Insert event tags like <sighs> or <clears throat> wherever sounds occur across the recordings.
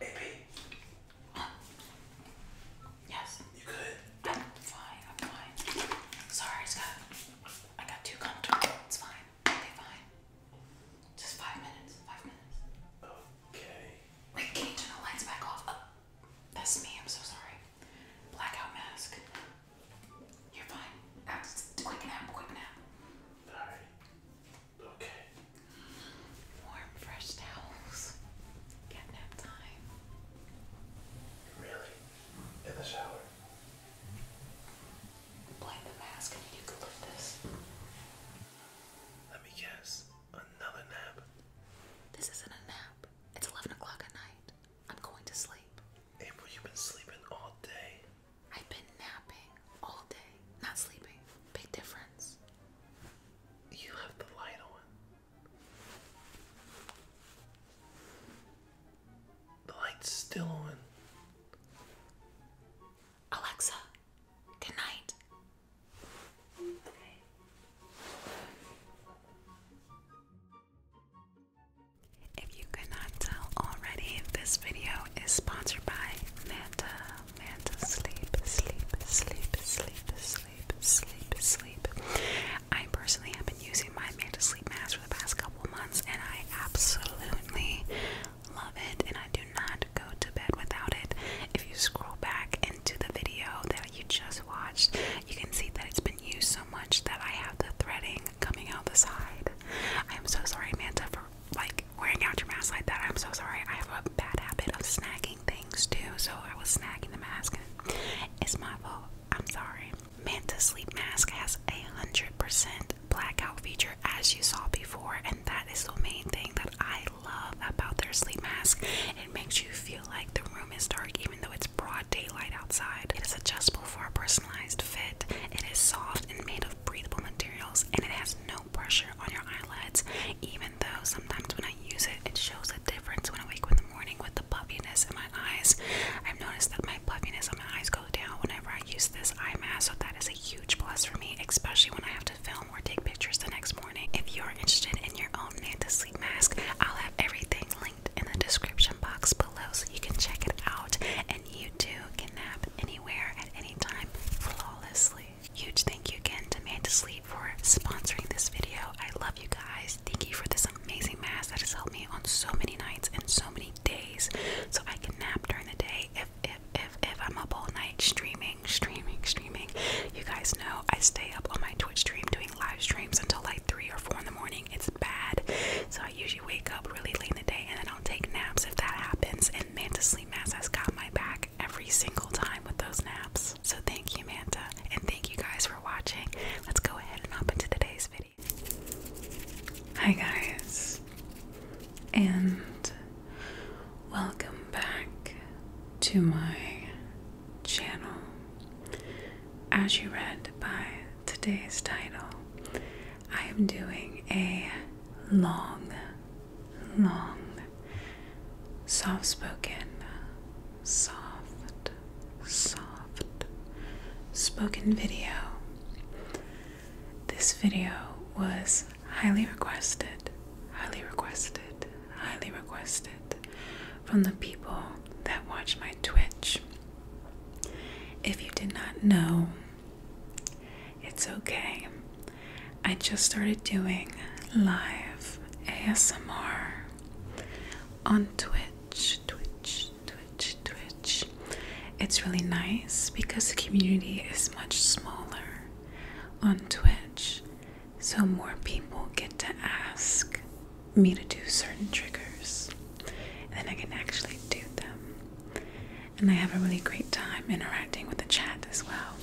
Hey, Yes. You good? fine. I'm fine. Sorry, Scott. I got too comfortable. It's fine. Okay, fine. Just five minutes. Five minutes. Okay. Wait, can you the lights back off? Oh, that's me. I'm so sorry. Blackout mask. You're fine. Quick nap. Quick nap. All right. Okay. Warm, fresh towels. Get nap time. Really? In the shower? Blame the mask and you could lift this. Let me guess. Another nap. This isn't a nap. It's 11 o'clock at night. I'm going to sleep. April, you've been sleeping all day. I've been napping all day, not sleeping. Big difference. You have the light on. The light's still on. Alexa, good night. If you could tell already, this video is sponsored by Manta man sleep, sleep, sleep, sleep, sleep, sleep, sleep. I personally have been using my Manta Sleep Mask for the past couple months and I absolutely love it and I do not go to bed without it. If you scroll back into the video that you just watched, you can see that it's been used so much that I have the threading coming out the side. I am so sorry Manta for like wearing out your mask like that. I'm so sorry. I have a bad habit of snagging things too, so I was snagging the mask. it's my fault. I'm sorry. Manta Sleep Mask has a 100% blackout feature as you saw before, and that is the main thing that I love about their sleep mask. It makes you feel like the room is dark even though it's broad daylight outside. It is adjustable for a personalized fit. It is soft and made of breathable materials, and it has no pressure on your eyelids, even though sometimes when I use it, it shows a difference when I wake up in the morning with the puffiness in my eyes. I've noticed that my puffiness on my eyes go down whenever I use this eye mask, so that is a huge plus for me, especially when I have to film or take pictures the next morning. If you're interested in your own Nanta sleep mask, I'll have everything linked in the description box below so you can check it out, and you too can nap anywhere at any time flawlessly. Huge thank you again to Man Sleep for sponsoring this video. I love you guys. Thank you for this amazing mask that has helped me on so many nights and so many days. So I can nap during the day if if if if I'm up all night streaming, streaming, streaming. You guys know I stay up on my Twitch stream doing live streams until like three or four in the morning. It's bad. So I usually wake up really late in the day and then I'll take naps if that happens and man to sleep mask has got my back every single time with those naps. So thank you, Manta, and thank you guys for watching. Let's go ahead and hop into today's video. Hi, guys, and welcome back to my channel. As you read by today's title, I am doing a long long, soft spoken, soft, soft spoken video. This video was highly requested, highly requested, highly requested from the people that watch my Twitch. If you did not know, it's okay. I just started doing live ASMR on Twitch, Twitch, Twitch, Twitch. It's really nice because the community is much smaller on Twitch, so more people get to ask me to do certain triggers, and then I can actually do them and I have a really great time interacting with the chat as well.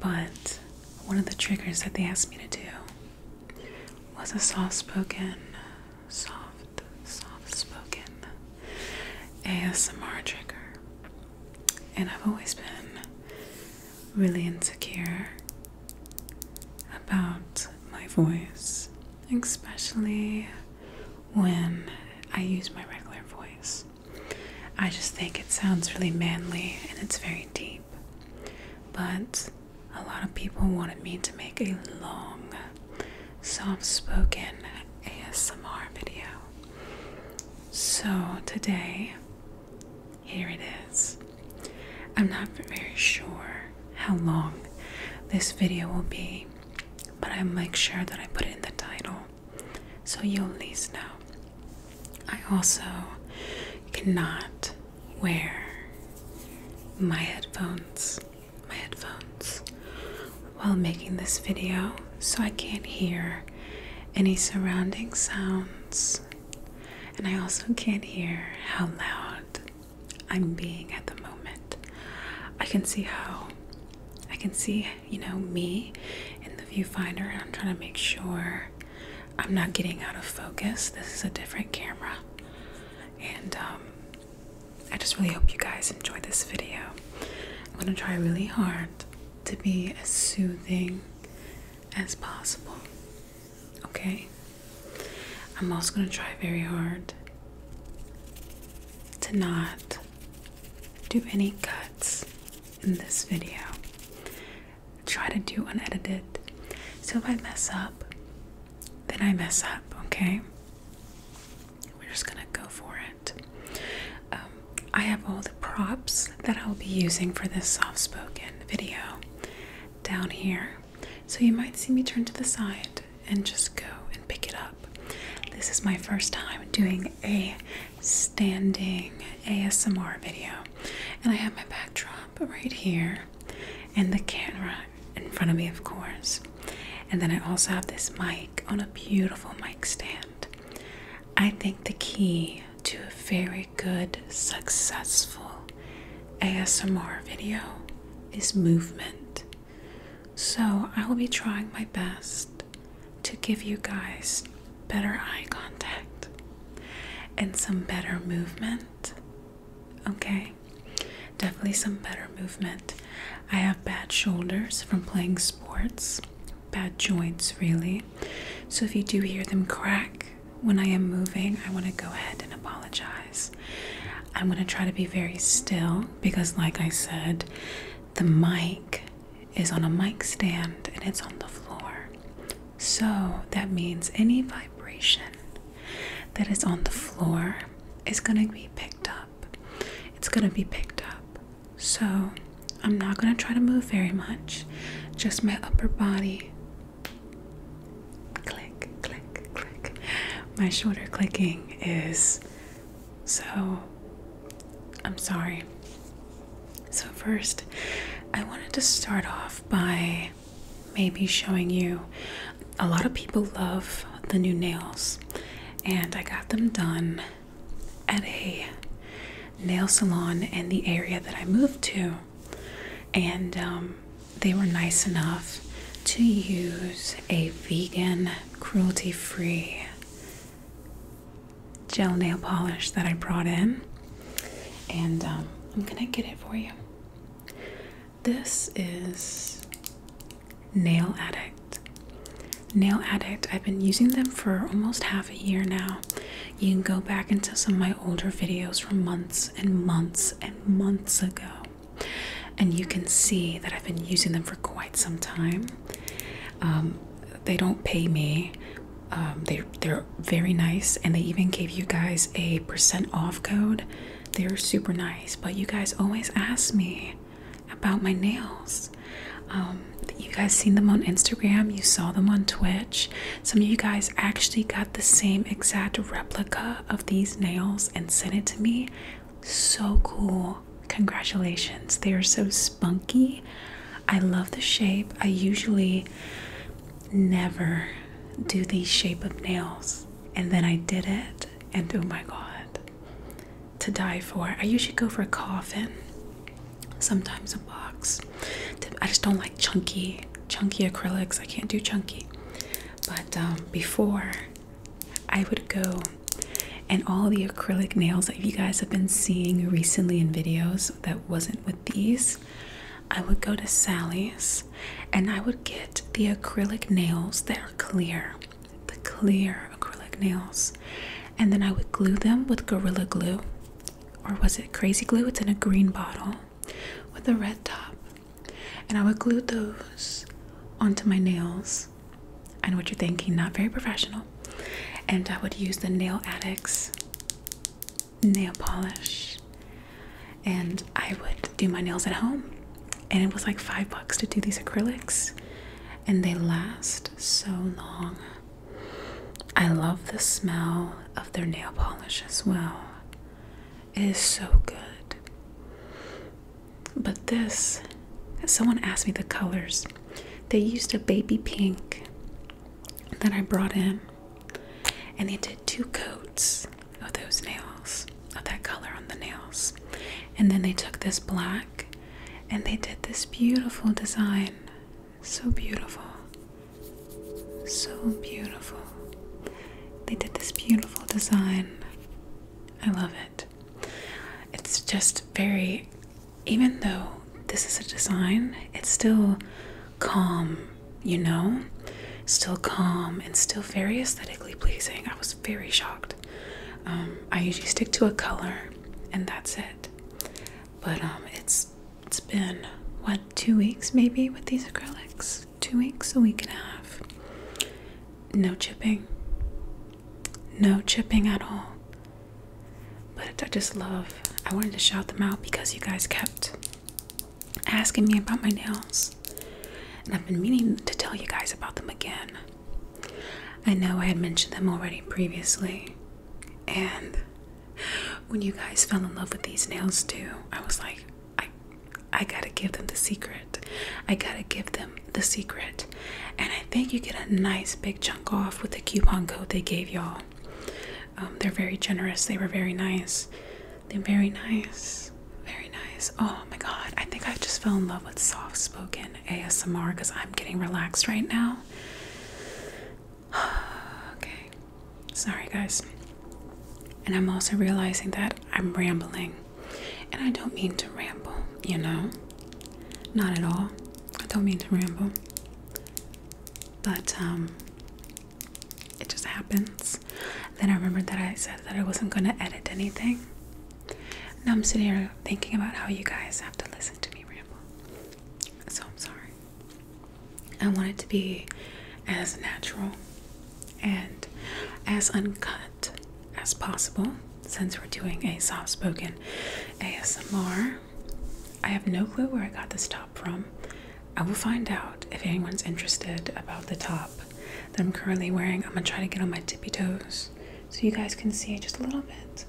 But one of the triggers that they asked me to do was a soft spoken, soft, soft spoken ASMR trigger. And I've always been really insecure about my voice, especially when I use my regular voice. I just think it sounds really manly and it's very deep. But a lot of people wanted me to make a long, soft spoken ASMR video. So today, here it is. I'm not very sure how long this video will be, but I'll make sure that I put in the title so you at least know. I also cannot wear my headphones, my headphones, while making this video, so I can't hear any surrounding sounds, and I also can't hear how loud I'm being at the moment. I can see how I can see, you know, me in the viewfinder, and I'm trying to make sure I'm not getting out of focus. This is a different camera. And um, I just really hope you guys enjoy this video. I'm going to try really hard to be as soothing as possible. Okay? I'm also going to try very hard to not do any cuts in this video. Try to do unedited. So if I mess up, then I mess up, okay? We're just gonna go for it. Um, I have all the props that I'll be using for this soft spoken video down here. So you might see me turn to the side and just go and pick it up. This is my first time doing a standing ASMR video, and I have my backdrop right here, and the camera in front of me, of course. And then I also have this mic on a beautiful mic stand. I think the key to a very good, successful ASMR video is movement. So I will be trying my best to give you guys better eye contact and some better movement. Okay, definitely some better movement. I have bad shoulders from playing sports, bad joints, really. So if you do hear them crack when I am moving, I want to go ahead and apologize. I'm going to try to be very still because, like I said, the mic is on a mic stand and it's on the floor. So that means any vibration that is on the floor is going to be picked up. It's going to be picked up. So I'm not going to try to move very much, just my upper body. Click, click, click. My shoulder clicking is so, I'm sorry. So, first, I wanted to start off by maybe showing you a lot of people love the new nails, and I got them done at a nail salon in the area that I moved to, and um, they were nice enough to use a vegan, cruelty free gel nail polish that I brought in, and um, I'm gonna get it for you. This is Nail Addict. Nail Addict, I've been using them for almost half a year now. You can go back into some of my older videos from months and months and months ago, and you can see that I've been using them for quite some time. Um, they don't pay me. Um, they they're very nice, and they even gave you guys a percent off code. They're super nice, but you guys always ask me about my nails. Um, you guys seen them on Instagram. You saw them on Twitch. Some of you guys actually got the same exact replica of these nails and sent it to me. So cool. Congratulations. They are so spunky I love the shape. I usually never do these shape of nails. And then I did it, and oh my god, to die for. I usually go for a coffin, sometimes a box. I just don't like chunky, chunky acrylics. I can't do chunky. But um, before, I would go, and all the acrylic nails that you guys have been seeing recently in videos that wasn't with these, I would go to Sally's and I would get the acrylic nails that are clear, the clear acrylic nails, and then I would glue them with Gorilla Glue. Or was it crazy glue? It's in a green bottle with a red top. And I would glue those onto my nails. I know what you're thinking, not very professional, and I would use the Nail Addicts nail polish. And I would do my nails at home. And it was like five bucks to do these acrylics. And they last so long. I love the smell of their nail polish as well. It is so good. But this, someone asked me the colors. They used a baby pink that I brought in, and they did two coats of those nails, of that color on the nails. And then they took this black and they did this beautiful design. So beautiful. So beautiful. They did this beautiful design. I love it. It's just very even though this is a design, it's still calm, you know? Still calm and still very aesthetically pleasing. I was very shocked. Um, I usually stick to a color and that's it. But um, it's been what two weeks maybe with these acrylics? Two weeks, a week and a half. No chipping. No chipping at all. But I just love, I wanted to shout them out because you guys kept asking me about my nails. And I've been meaning to tell you guys about them again. I know I had mentioned them already previously. And when you guys fell in love with these nails too, I was like, I I gotta give them the secret. I gotta give them the secret. And I think you get a nice big chunk off with the coupon code they gave y'all. Um, they're very generous. They were very nice. They're very nice. Very nice. Oh my god. I think I just fell in love with soft spoken ASMR because I'm getting relaxed right now. <sighs> okay. Sorry, guys. And I'm also realizing that I'm rambling. And I don't mean to ramble, you know? Not at all. I don't mean to ramble but um, it just happens. Then I remembered that I said that I wasn't going to edit anything. Now I'm sitting here thinking about how you guys have to listen to me ramble. So I'm sorry. I want it to be as natural and as uncut as possible since we're doing a soft spoken ASMR I have no clue where I got this top from. I will find out if anyone's interested about the top that I'm currently wearing. I'm gonna try to get on my tippy toes so you guys can see just a little bit.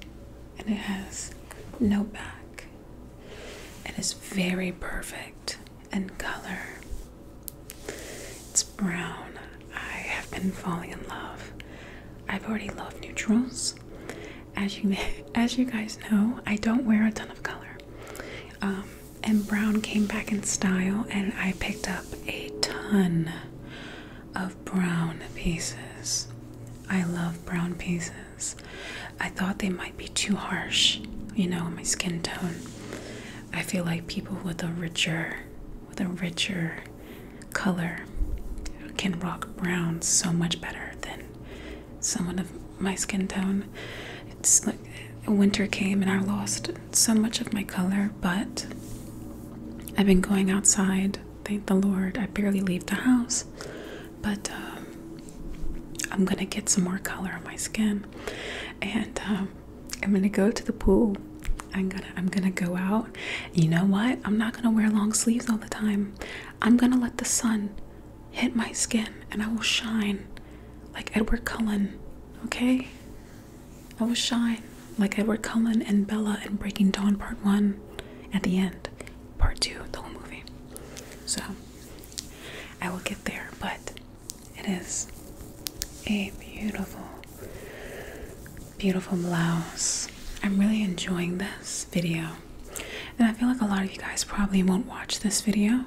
And it has no back. It is very perfect in color. It's brown. I have been falling in love. I've already loved neutrals as you <laughs> as you guys know, I don't wear a ton of color. Um, and brown came back in style, and I picked up a ton of brown pieces. I love brown pieces. I thought they might be too harsh, you know, my skin tone. I feel like people with a richer, with a richer color can rock brown so much better than someone of my skin tone. It's like winter came and I lost so much of my color, but I've been going outside. Thank the Lord. I barely leave the house, but um, I'm gonna get some more color on my skin, and um, I'm gonna go to the pool. I'm gonna I'm gonna go out. You know what? I'm not gonna wear long sleeves all the time. I'm gonna let the sun hit my skin and I will shine like Edward Cullen, okay? I will shine like Edward Cullen and Bella in Breaking Dawn Part 1 at the end, Part 2, the whole movie. So, I will get there, but it is a beautiful, beautiful blouse. I'm really enjoying this video and I feel like a lot of you guys probably won't watch this video,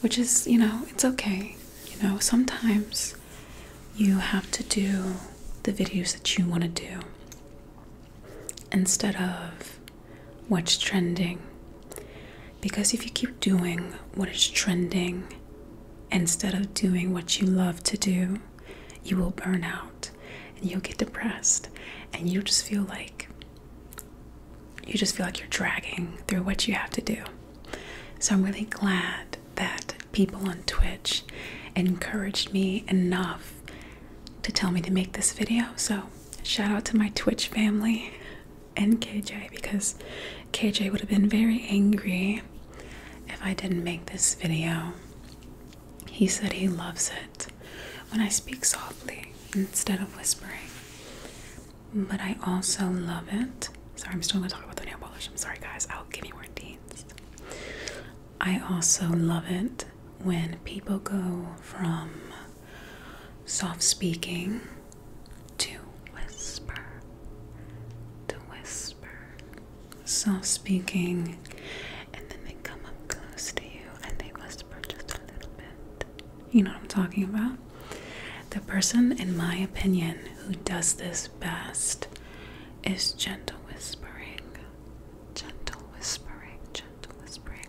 which is, you know, it's okay. You know, sometimes you have to do the videos that you want to do instead of what's trending. Because if you keep doing what is trending instead of doing what you love to do, you will burn out and you'll get depressed and you just feel like you just feel like you're dragging through what you have to do. So I'm really glad that people on Twitch encouraged me enough to tell me to make this video. So shout out to my Twitch family and KJ because KJ would have been very angry if I didn't make this video. He said he loves it when I speak softly instead of whispering. But I also love it. Sorry, I'm still gonna talk about the nail polish. I'm sorry, guys. I'll give you more deeds. I also love it when people go from soft speaking to whisper. To whisper. Soft speaking, and then they come up close to you and they whisper just a little bit. You know what I'm talking about? The person, in my opinion, who does this best is gentle whispering. Gentle whispering, gentle whispering.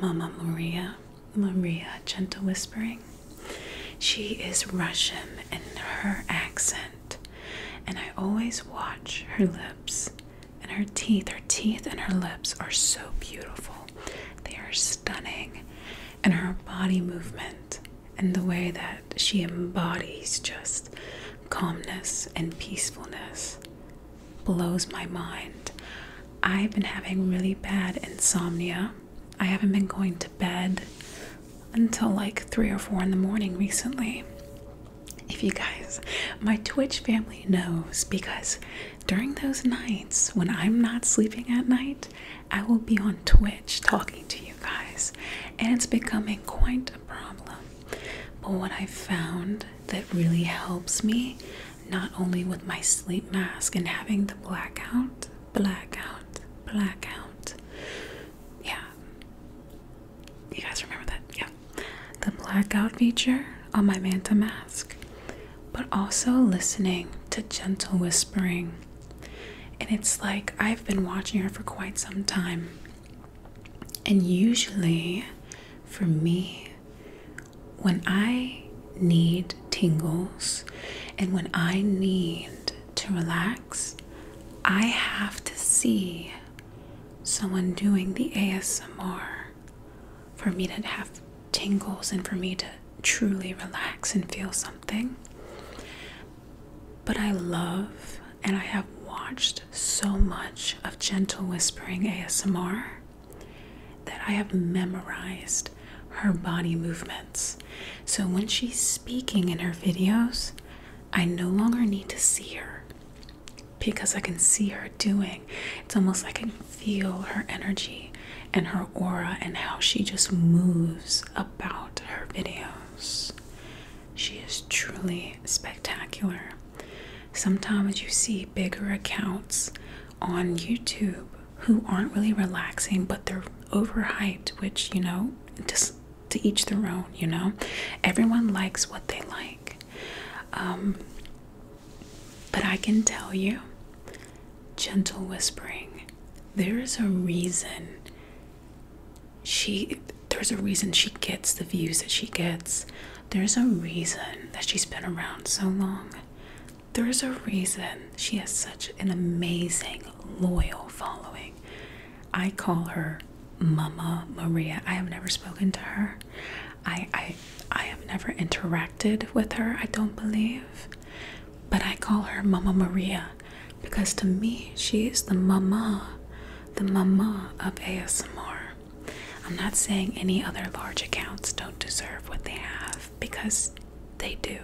Mama Maria, Maria, gentle whispering. She is Russian in her accent, and I always watch her lips and her teeth, her teeth and her lips are so beautiful. They are stunning. And her body movement and the way that she embodies just calmness and peacefulness blows my mind. I've been having really bad insomnia. I haven't been going to bed until like 3 or 4 in the morning recently if you guys, my Twitch family knows because during those nights when I'm not sleeping at night, I will be on Twitch talking to you guys, and it's becoming quite a problem. But what I found that really helps me, not only with my sleep mask and having the blackout, blackout, blackout. Yeah. You guys remember that? Yeah the blackout feature on my Manta mask, but also listening to gentle whispering. And it's like I've been watching her for quite some time. And usually, for me, when I need tingles and when I need to relax, I have to see someone doing the ASMR for me to have tingles and for me to truly relax and feel something. But I love and I have watched so much of gentle whispering ASMR that I have memorized her body movements. So when she's speaking in her videos, I no longer need to see her because I can see her doing. It's almost like I can feel her energy and her aura and how she just moves about her videos. She is truly spectacular. Sometimes you see bigger accounts on YouTube who aren't really relaxing, but they're overhyped, which, you know, just to each their own, you know? Everyone likes what they like. Um, but I can tell you, gentle whispering, there is a reason she there's a reason she gets the views that she gets. There's a reason that she's been around so long. There's a reason she has such an amazing, loyal following. I call her Mama Maria. I have never spoken to her. I, I I have never interacted with her, I don't believe, but I call her Mama Maria because to me, she is the mama, the mama of ASMR. I'm not saying any other large accounts don't deserve what they have because they do.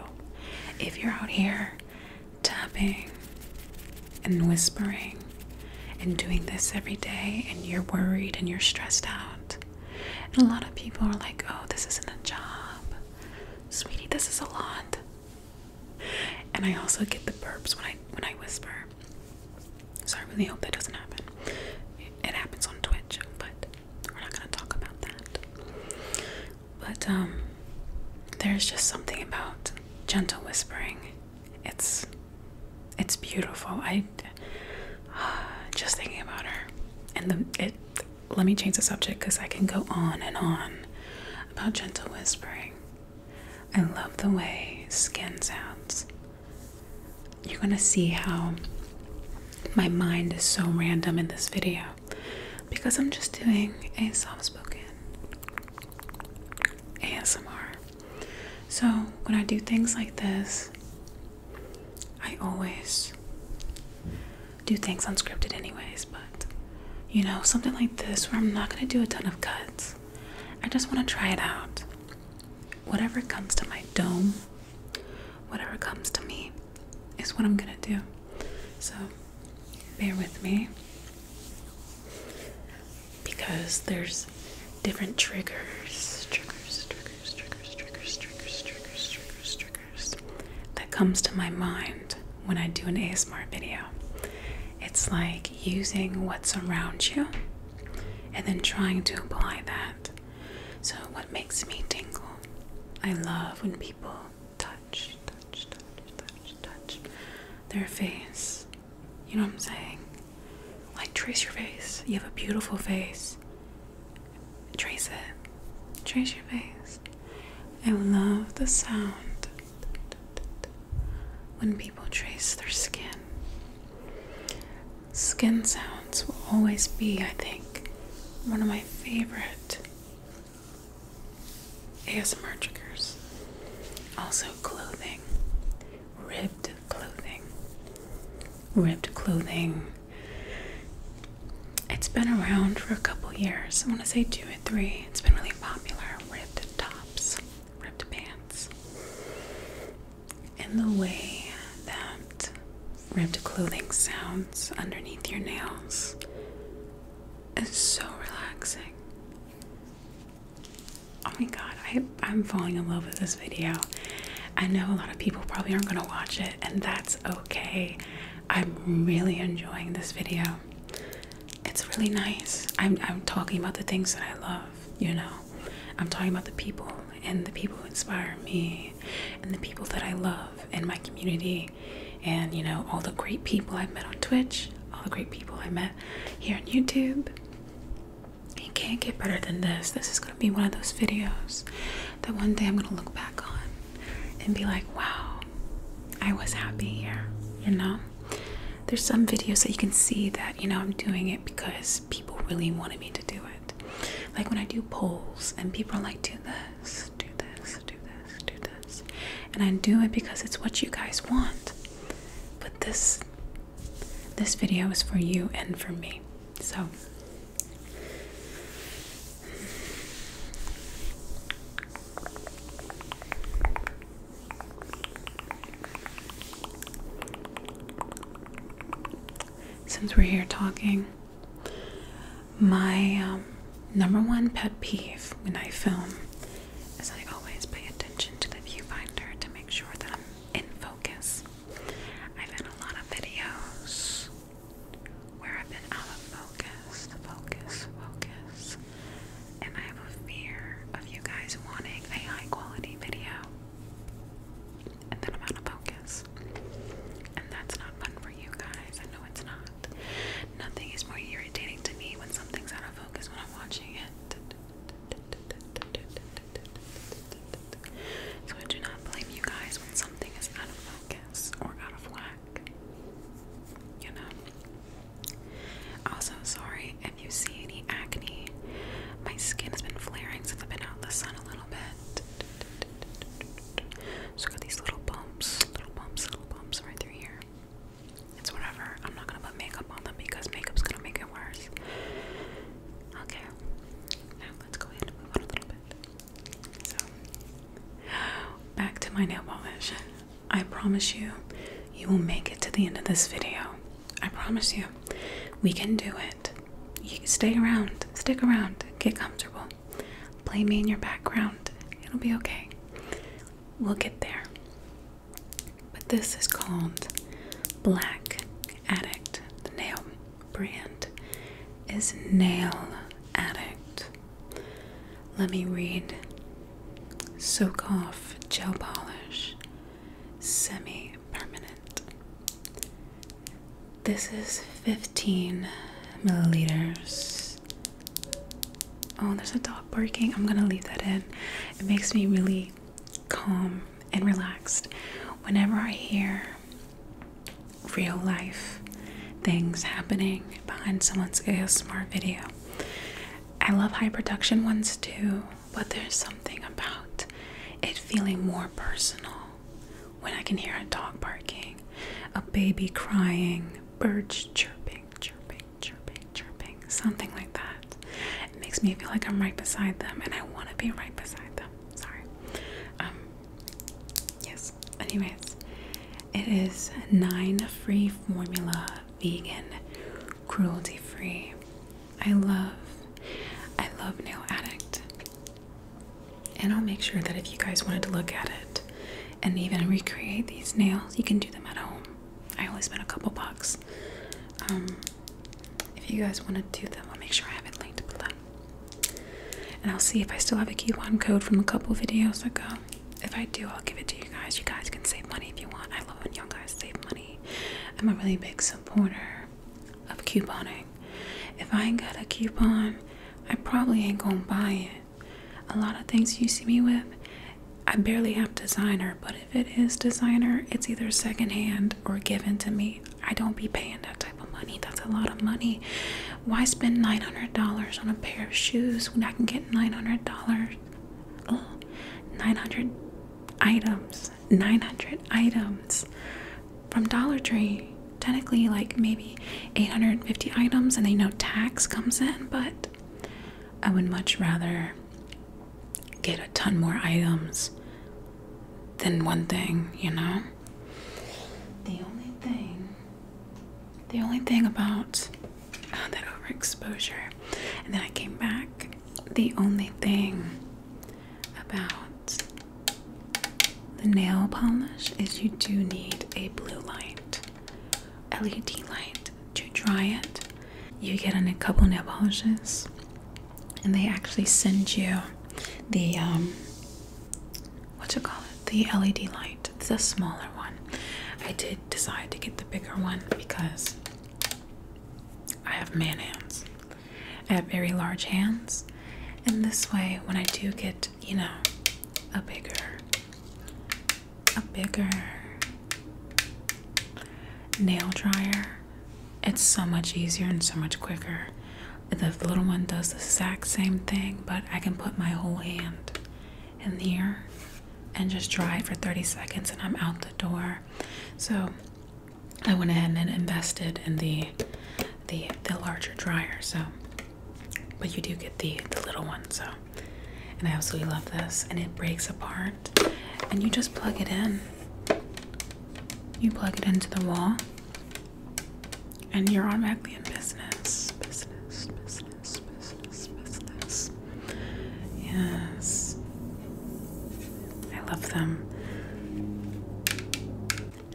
If you're out here tapping and whispering and doing this every day and you're worried and you're stressed out, and a lot of people are like, oh, this isn't a job. Sweetie, this is a lot. And I also get the burps when I when I whisper. So I really hope that doesn't happen. It, happens on Twitch, but we're not gonna talk about that. But um there's just something about gentle whispering. It's it's beautiful. I <sighs> just thinking about her, and the it. Let me change the subject because I can go on and on about gentle whispering. I love the way skin sounds. You're gonna see how my mind is so random in this video because I'm just doing a soft spoken ASMR. So when I do things like this, I always do things unscripted, anyways, but you know, something like this where I'm not gonna do a ton of cuts, I just wanna try it out. Whatever comes to my dome, whatever comes to me, is what I'm gonna do. So, bear with me because there's different triggers, triggers, triggers, triggers, triggers, triggers, triggers, triggers, triggers that comes to my mind when I do an ASMR video. It's like using what's around you and then trying to apply that. So what makes me tingle? I love when people touch, touch, touch, touch, touch their face. You know what I'm saying? Like, trace your face. You have a beautiful face. Trace it. Trace your face. I love the sound when people trace their skin. Skin sounds will always be, I think, one of my favorite ASMR triggers. Also, clothing, ribbed clothing, ribbed clothing. It's been around for a couple years. I want to say two or three. It's been really popular. Ripped tops, Ripped pants. And the way that ripped clothing sounds underneath your nails is so relaxing. Oh my god, I, I'm falling in love with this video. I know a lot of people probably aren't going to watch it, and that's okay. I'm really enjoying this video. It's really nice. I'm, I'm talking about the things that I love, you know. I'm talking about the people, and the people who inspire me, and the people that I love in my community, and, you know, all the great people I've met on Twitch, all the great people I met here on YouTube. It can't get better than this. This is gonna be one of those videos that one day I'm gonna look back on and be like, wow, I was happy here, you know? There's some videos that you can see that, you know, I'm doing it because people really wanted me to do it. Like when I do polls and people are like, do this, do this, do this, do this. And I do it because it's what you guys want. But this this video is for you and for me. So since we're here talking, my um, number one pet peeve when I film is I always pay attention to the viewfinder to make sure that I'm in focus. I've done a lot of videos where I've been out of focus, focus, focus, and I have a fear of you guys wanting a high quality video. And then I'm out of focus. And that's not fun for you guys. I know it's not. Nothing is more irritating to me when something's out of focus when I'm watching it. So I do not blame you guys when something is out of focus or out of whack. You know? Also, sorry if you see any acne. My skin has been flaring since I've been out in the sun a little bit. So I got these little bumps, little bumps, little bumps right through here. It's whatever. I'm not gonna put makeup on them because makeup's gonna make it worse. Okay. Now let's go ahead and move on a little bit back to my nail polish. I promise you, you will make it to the end of this video. I promise you, we can do it. You stay around, stick around, get comfortable. Play me in your background. It'll be okay. We'll get there. But this is called black Addict. The nail brand is Nail Addict. Let me read Soak Off Gel Polish Semi Permanent. This is 15 milliliters. Oh, there's a dog barking. I'm gonna leave that in. It makes me really calm and relaxed. Whenever I hear real life things happening behind someone's ASMR video, I love high production ones too, but there's something about it feeling more personal when I can hear a dog barking, a baby crying, birds chirping, chirping, chirping, chirping, something like that. It makes me feel like I'm right beside them and I want to be right beside them. Sorry. Um, Yes. Anyways, it is nine free formula, vegan, cruelty free. I love, I love Nail Addict. And I'll make sure that if you guys wanted to look at it and even recreate these nails, you can do them at home. I only spent a couple bucks. Um, if you guys want to do them, I'll make sure I have it linked below. And I'll see if I still have a coupon code from a couple videos ago. If I do, I'll give it to you guys. You guys can save money if you want. I love when y'all guys save money. I'm a really big supporter of couponing. If I ain't got a coupon, I probably ain't gonna buy it. A lot of things you see me with, I barely have designer, but if it is designer, it's either secondhand or given to me. I don't be paying that type of money. That's a lot of money. Why spend nine hundred dollars on a pair of shoes when I can get nine hundred dollars? Oh, nine hundred items. Nine hundred items from Dollar Tree. Technically, like maybe eight hundred and fifty items, and they know tax comes in. But I would much rather get a ton more items than one thing, you know. The only thing, the only thing about uh, that overexposure, and then I came back. The only thing about the nail polish is you do need a blue light, LED light to dry it. You get in a couple nail polishes, and they actually send you the um, what do you call it the LED light it's smaller one I did decide to get the bigger one because I have man hands I have very large hands and this way when I do get you know a bigger a bigger nail dryer it's so much easier and so much quicker the little one does the exact same thing, but I can put my whole hand in here and just dry it for 30 seconds and I'm out the door. So I went ahead and invested in the the the larger dryer, so but you do get the the little one, so and I absolutely love this and it breaks apart and you just plug it in. You plug it into the wall and you're automatically in business. Business, business, business, business. Yes. I love them.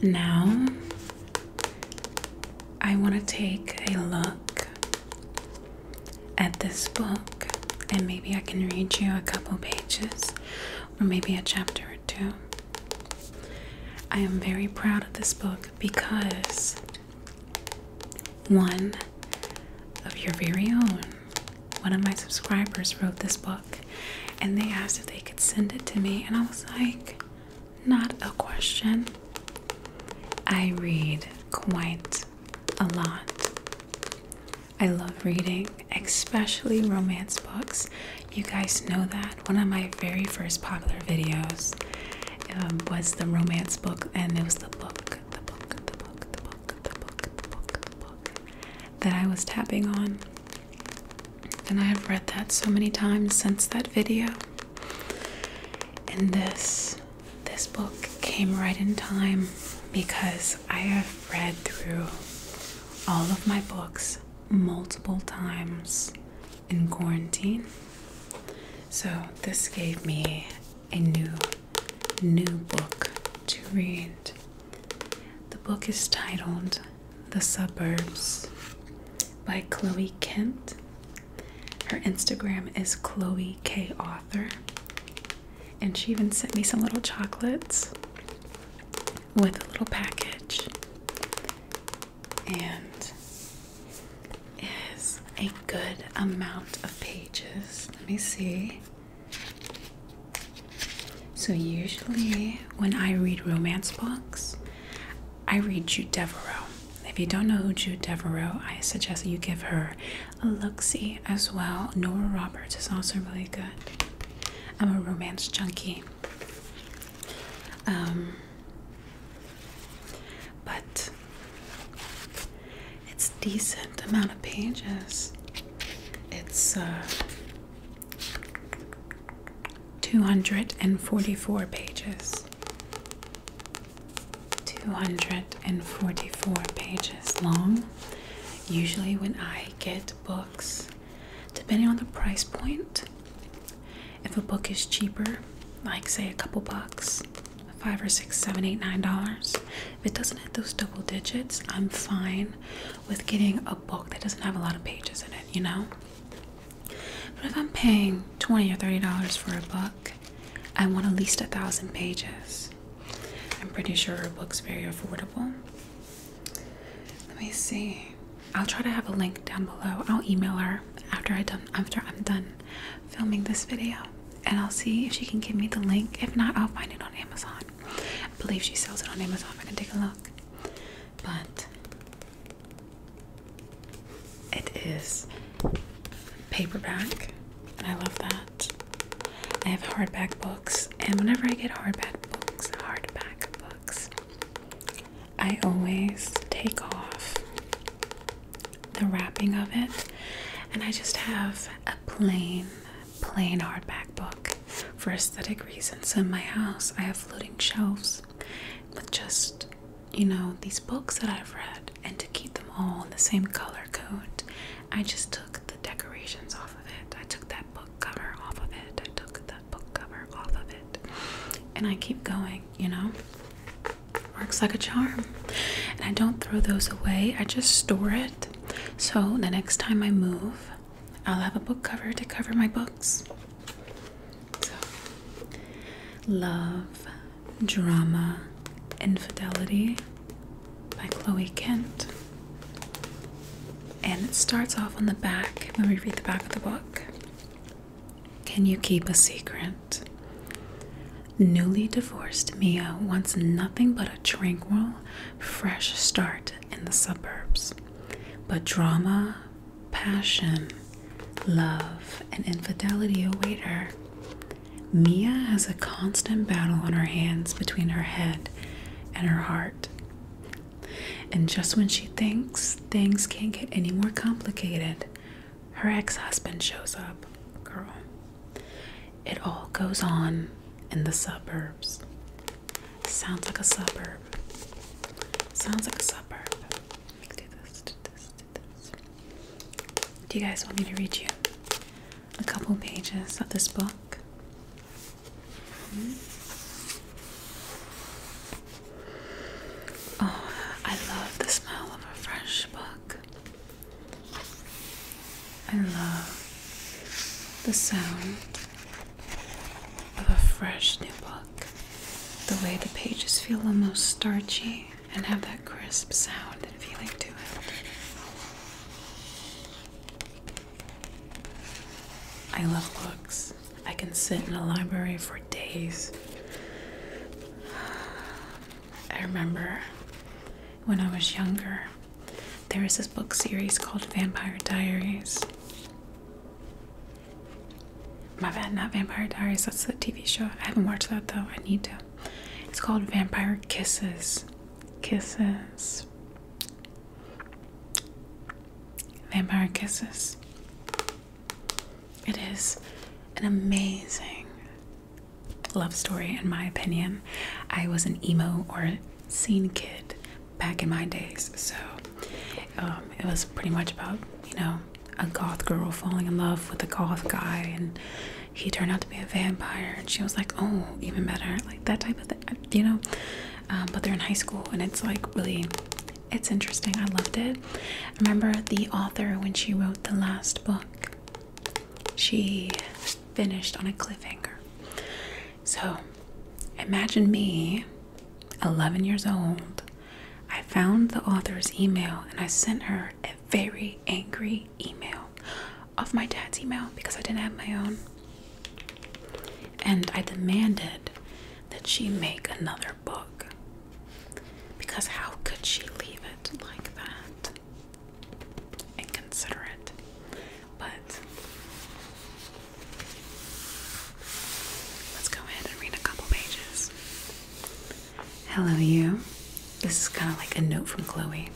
Now, I want to take a look at this book, and maybe I can read you a couple pages, or maybe a chapter or two. I am very proud of this book because one of your very own, one of my subscribers, wrote this book and they asked if they could send it to me, and I was like, not a question. I read quite a lot. I love reading, especially romance books. You guys know that one of my very first popular videos um, was the romance book, and it was the book, the book, the book, the book, the book, the book, the book that I was tapping on. And I have read that so many times since that video. And this this book came right in time because I have read through all of my books multiple times in quarantine. So this gave me a new new book to read. The book is titled The Suburbs by Chloe Kent. Her Instagram is Chloe K Author. And she even sent me some little chocolates with a little package and is a good amount of pages. Let me see. So, usually when I read romance books, I read Jude Devereaux. If you don't know who Jude Devereaux, I suggest you give her a look as well. Nora Roberts is also really good. I'm a romance junkie. Um, but it's decent amount of pages. It's uh, 244 pages. 244 pages long. Usually, when I get books, depending on the price point, if a book is cheaper, like say a couple bucks, five or six, seven, eight, nine dollars, if it doesn't hit those double digits, I'm fine with getting a book that doesn't have a lot of pages in it, you know? But if I'm paying 20 or 30 dollars for a book, I want at least a thousand pages. I'm pretty sure her book's very affordable. Let me see. I'll try to have a link down below. I'll email her after I done after I'm done filming this video, and I'll see if she can give me the link. If not, I'll find it on Amazon. I believe she sells it on Amazon. I can take a look, but it is paperback, I love that. I have hardback books, and whenever I get hardback books, hardback books, I always take off the wrapping of it and I just have a plain, plain hardback book for aesthetic reasons. In my house, I have floating shelves with just, you know, these books that I've read, and to keep them all in the same color code, I just took the decorations off of it. I took that book cover off of it. I took the book cover off of it. And I keep going, you know? Works like a charm. And I don't throw those away, I just store it. So the next time I move, I'll have a book cover to cover my books. So, Love, Drama, Infidelity by Chloe Kent. And it starts off on the back when we read the back of the book. Can you keep a secret? Newly divorced Mia wants nothing but a tranquil, fresh start in the suburbs. But drama, passion, love, and infidelity await her. Mia has a constant battle on her hands between her head and her heart. And just when she thinks things can't get any more complicated, her ex husband shows up. Girl, it all goes on in the suburbs. Sounds like a suburb. Sounds like a suburb. do this, do this, do this. Do you guys want me to read you a couple pages of this book? Hmm? Oh, I love the smell of a fresh book. I love the sound of a fresh new book. The way the pages feel almost starchy and have that crisp sound and feeling to it. I love books. I can sit in a library for days. I remember when I was younger, there was this book series called Vampire Diaries. My bad, not Vampire Diaries, that's the TV show. I haven't watched that though, I need to. It's called Vampire Kisses. Kisses. Vampire Kisses. It is an amazing love story, in my opinion. I was an emo or scene kid back in my days, so um, it was pretty much about, you know, a goth girl falling in love with a goth guy, and he turned out to be a vampire, and she was like, oh, even better, like that type of thing, you know. Um, but they're in high school, and it's like really it's interesting. I loved it. I remember the author when she wrote the last book, she finished on a cliffhanger. So imagine me, 11 years old. I found the author's email and I sent her a very angry email of my dad's email because I didn't have my own. And I demanded that she make another book. Because how could she leave it like that? Inconsiderate. But let's go ahead and read a couple pages. Hello, you. This is kind of like a note from Chloe.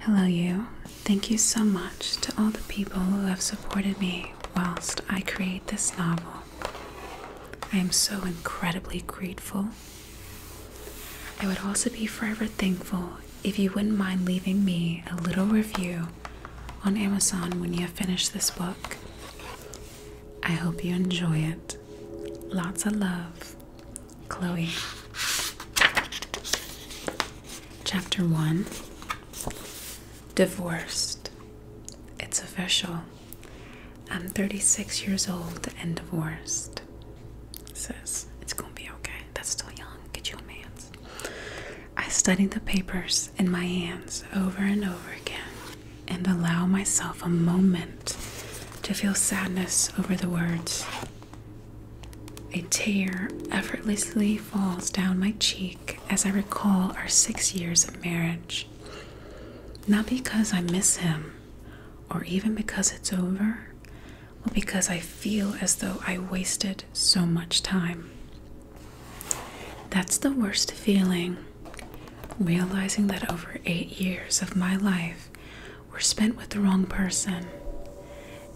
Hello, you. Thank you so much to all the people who have supported me whilst I create this novel. I am so incredibly grateful. I would also be forever thankful if you wouldn't mind leaving me a little review on Amazon when you have finished this book. I hope you enjoy it. Lots of love. Chloe. Chapter 1 divorced. It's official. I'm 36 years old and divorced. Says it's gonna be okay. That's still young. Get you a man's. I study the papers in my hands over and over again and allow myself a moment to feel sadness over the words. A tear effortlessly falls down my cheek as I recall our six years of marriage. Not because I miss him or even because it's over, but because I feel as though I wasted so much time. That's the worst feeling, realizing that over eight years of my life were spent with the wrong person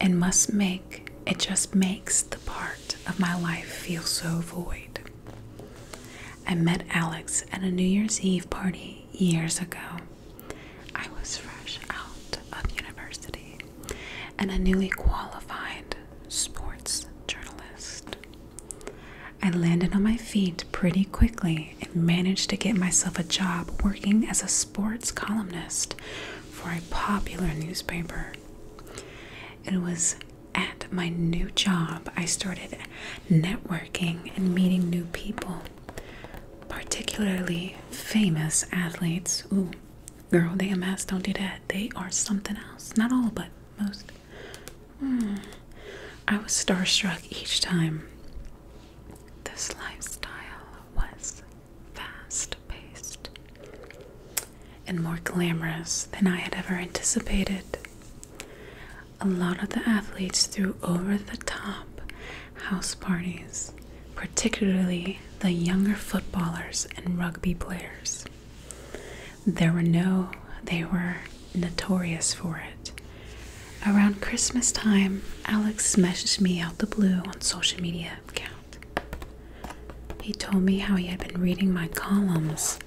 and must make it just makes the part of my life feel so void. I met Alex at a New Year's Eve party years ago. I was fresh out of university and a newly qualified sports journalist. I landed on my feet pretty quickly and managed to get myself a job working as a sports columnist for a popular newspaper. It was at my new job, I started networking and meeting new people, particularly famous athletes. Ooh, girl, they amass, don't do that. They are something else. Not all, but most. Hmm. I was starstruck each time. This lifestyle was fast paced and more glamorous than I had ever anticipated. A lot of the athletes threw over the top house parties, particularly the younger footballers and rugby players. There were no, they were notorious for it. Around Christmas time, Alex messaged me out the blue on social media account. He told me how he had been reading my columns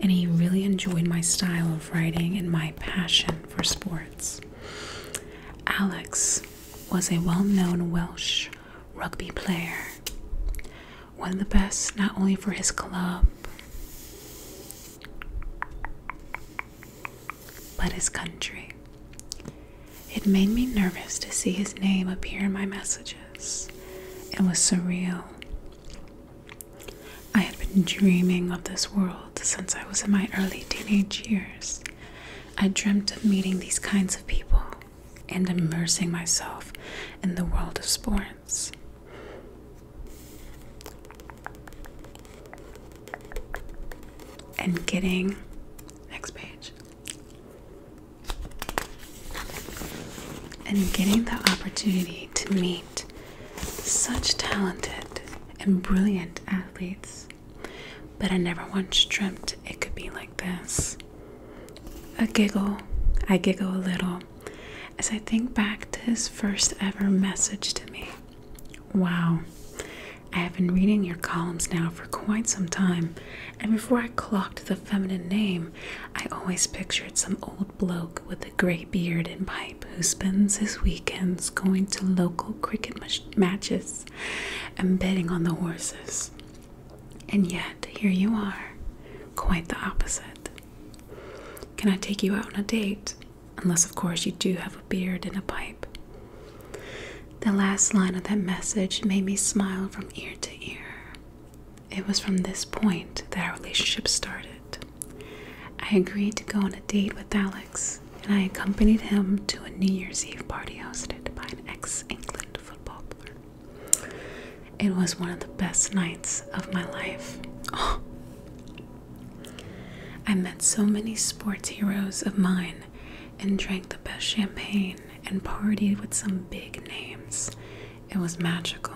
and he really enjoyed my style of writing and my passion for sports. Alex was a well known Welsh rugby player, one of the best not only for his club but his country. It made me nervous to see his name appear in my messages. It was surreal. I had been dreaming of this world since I was in my early teenage years. I dreamt of meeting these kinds of people and immersing myself in the world of sports. And getting, next page, and getting the opportunity to meet such talented and brilliant athletes, but I never once dreamt it could be like this. A giggle, I giggle a little as I think back to his first ever message to me. Wow, I have been reading your columns now for quite some time, and before I clocked the feminine name, I always pictured some old bloke with the grey beard and pipe who spends his weekends going to local cricket matches and betting on the horses. And yet, here you are, quite the opposite. Can I take you out on a date? Unless, of course, you do have a beard and a pipe. The last line of that message made me smile from ear to ear. It was from this point that our relationship started. I agreed to go on a date with Alex, and I accompanied him to a New Year's Eve party hosted by an ex England footballer. It was one of the best nights of my life. Oh. <gasps> I met so many sports heroes of mine and drank the best champagne and partied with some big names. It was magical,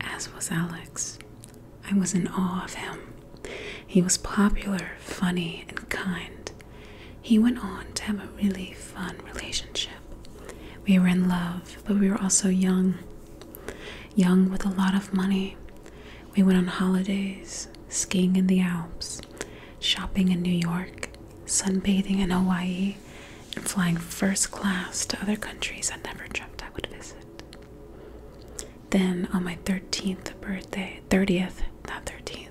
as was Alex. I was in awe of him. He was popular, funny, and kind. He went on to have a really fun relationship. We were in love, but we were also young. Young with a lot of money. We went on holidays, skiing in the Alps, shopping in New York, sunbathing in Hawaii, and flying first class to other countries i never dreamt I would visit. Then on my 13th birthday, 30th, not 13th,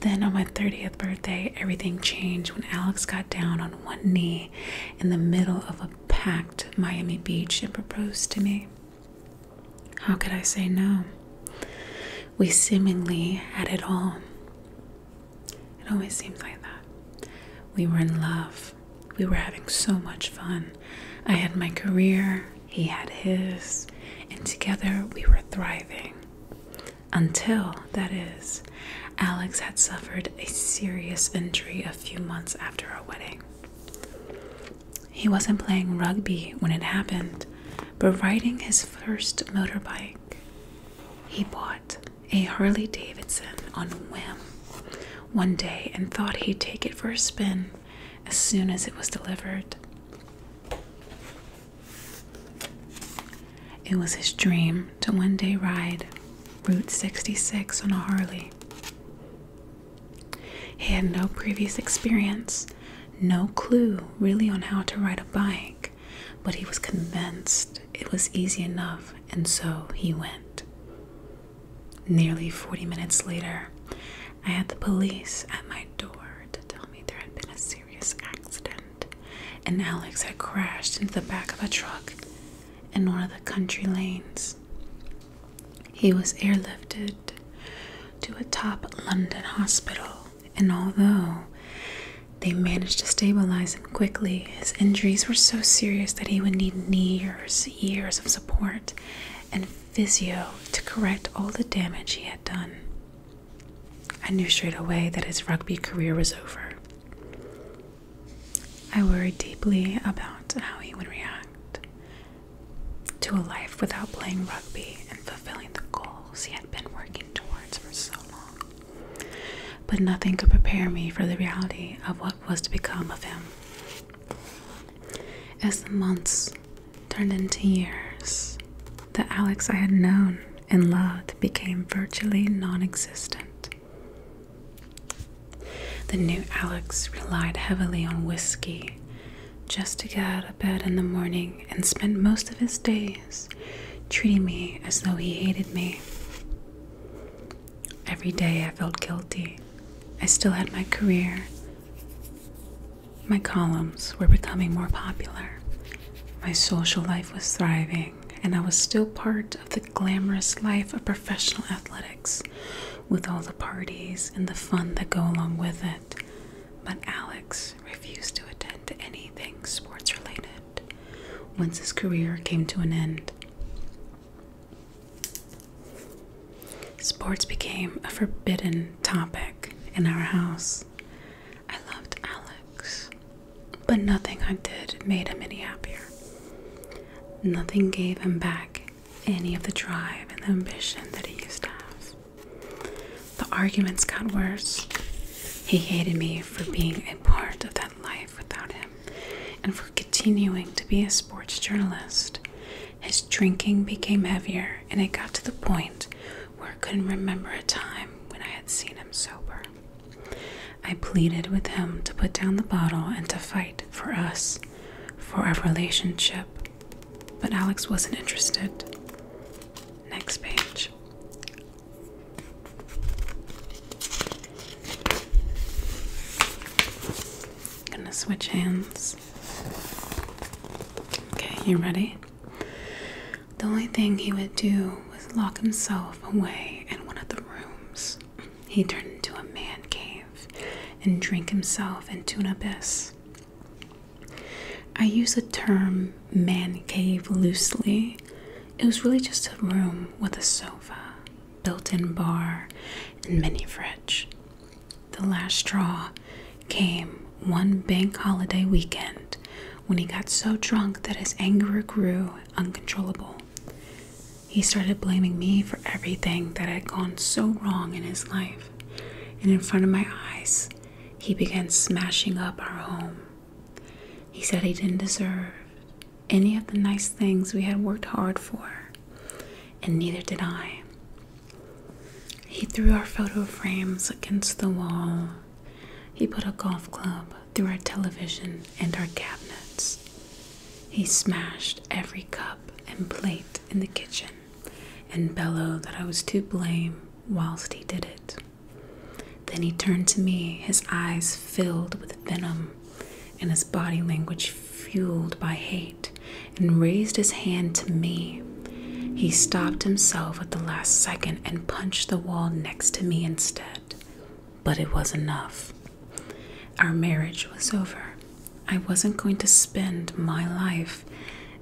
then on my 30th birthday, everything changed when Alex got down on one knee in the middle of a packed Miami beach and proposed to me. How could I say no? We seemingly had it all. It always seems like that. We were in love. We were having so much fun. I had my career, he had his, and together we were thriving. Until, that is, Alex had suffered a serious injury a few months after our wedding. He wasn't playing rugby when it happened, but riding his first motorbike. He bought a Harley Davidson on whim one day and thought he'd take it for a spin as soon as it was delivered. It was his dream to one day ride Route 66 on a Harley. He had no previous experience, no clue really on how to ride a bike, but he was convinced it was easy enough, and so he went. Nearly 40 minutes later, I had the police at my door to tell me there had been a serious accident and Alex had crashed into the back of a truck in one of the country lanes. He was airlifted to a top London hospital, and although they managed to stabilize him quickly, his injuries were so serious that he would need years, years of support and physio to correct all the damage he had done. I knew straight away that his rugby career was over. I worried deeply about how he would react to a life without playing rugby and fulfilling the goals he had been working towards for so long. But nothing could prepare me for the reality of what was to become of him. As the months turned into years, the Alex I had known and loved became virtually non existent. The new Alex relied heavily on whiskey just to get out of bed in the morning and spent most of his days treating me as though he hated me. Every day I felt guilty I still had my career. My columns were becoming more popular. My social life was thriving, and I was still part of the glamorous life of professional athletics with all the parties and the fun that go along with it. But Alex refused to attend to anything sports related once his career came to an end. Sports became a forbidden topic in our house. I loved Alex, but nothing I did made him any happier. Nothing gave him back any of the drive and the ambition that he used to have. The arguments got worse. He hated me for being a part of that life without him and for continuing to be a sports journalist. His drinking became heavier, and it got to the point where I couldn't remember a time when I had seen him sober. I pleaded with him to put down the bottle and to fight for us, for our relationship, but Alex wasn't interested. Next page gonna switch hands. Okay, you ready? The only thing he would do was lock himself away in one of the rooms. He turned into a man cave and drink himself into an abyss. I use the term man cave loosely. It was really just a room with a sofa, built-in bar and mini fridge. The last straw came one bank holiday weekend when he got so drunk that his anger grew uncontrollable. He started blaming me for everything that had gone so wrong in his life, and in front of my eyes, he began smashing up our home. He said he didn't deserve any of the nice things we had worked hard for and neither did I. He threw our photo frames against the wall. He put a golf club through our television and our cabinets. He smashed every cup and plate in the kitchen and bellowed that I was to blame whilst he did it. Then he turned to me, his eyes filled with venom and his body language fueled by hate, and raised his hand to me. He stopped himself at the last second and punched the wall next to me instead. But it was enough. Our marriage was over. I wasn't going to spend my life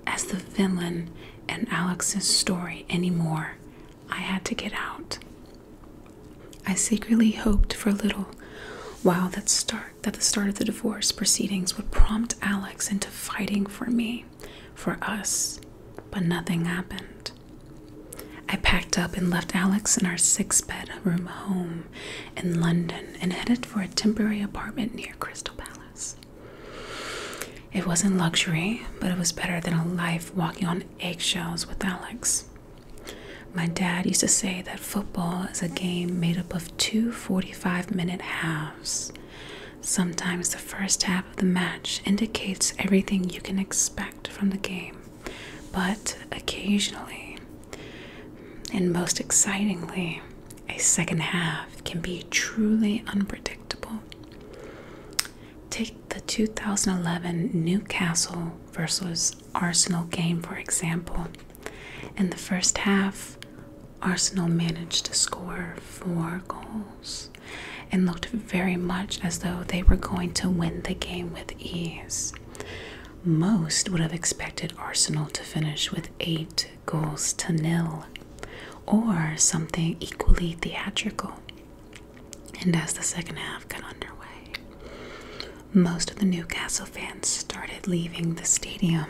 as the villain in Alex's story anymore. I had to get out. I secretly hoped for little while that start that the start of the divorce proceedings would prompt Alex into fighting for me, for us, but nothing happened. I packed up and left Alex in our six bedroom home in London and headed for a temporary apartment near Crystal Palace. It wasn't luxury, but it was better than a life walking on eggshells with Alex. My dad used to say that football is a game made up of two 45 minute halves. Sometimes the first half of the match indicates everything you can expect from the game, but occasionally, and most excitingly, a second half can be truly unpredictable. Take the 2011 Newcastle versus Arsenal game, for example. In the first half, Arsenal managed to score four goals and looked very much as though they were going to win the game with ease. Most would have expected Arsenal to finish with eight goals to nil or something equally theatrical. And as the second half got underway, most of the Newcastle fans started leaving the stadium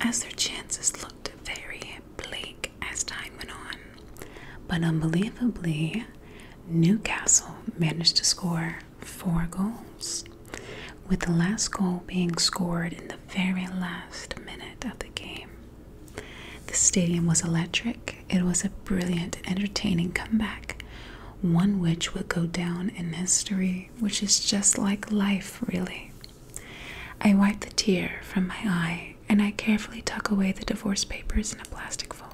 as their chances looked very bleak as time went on. But unbelievably, Newcastle managed to score four goals, with the last goal being scored in the very last minute of the game. The stadium was electric. It was a brilliant entertaining comeback, one which would go down in history which is just like life, really. I wipe the tear from my eye and I carefully tuck away the divorce papers in a plastic folder.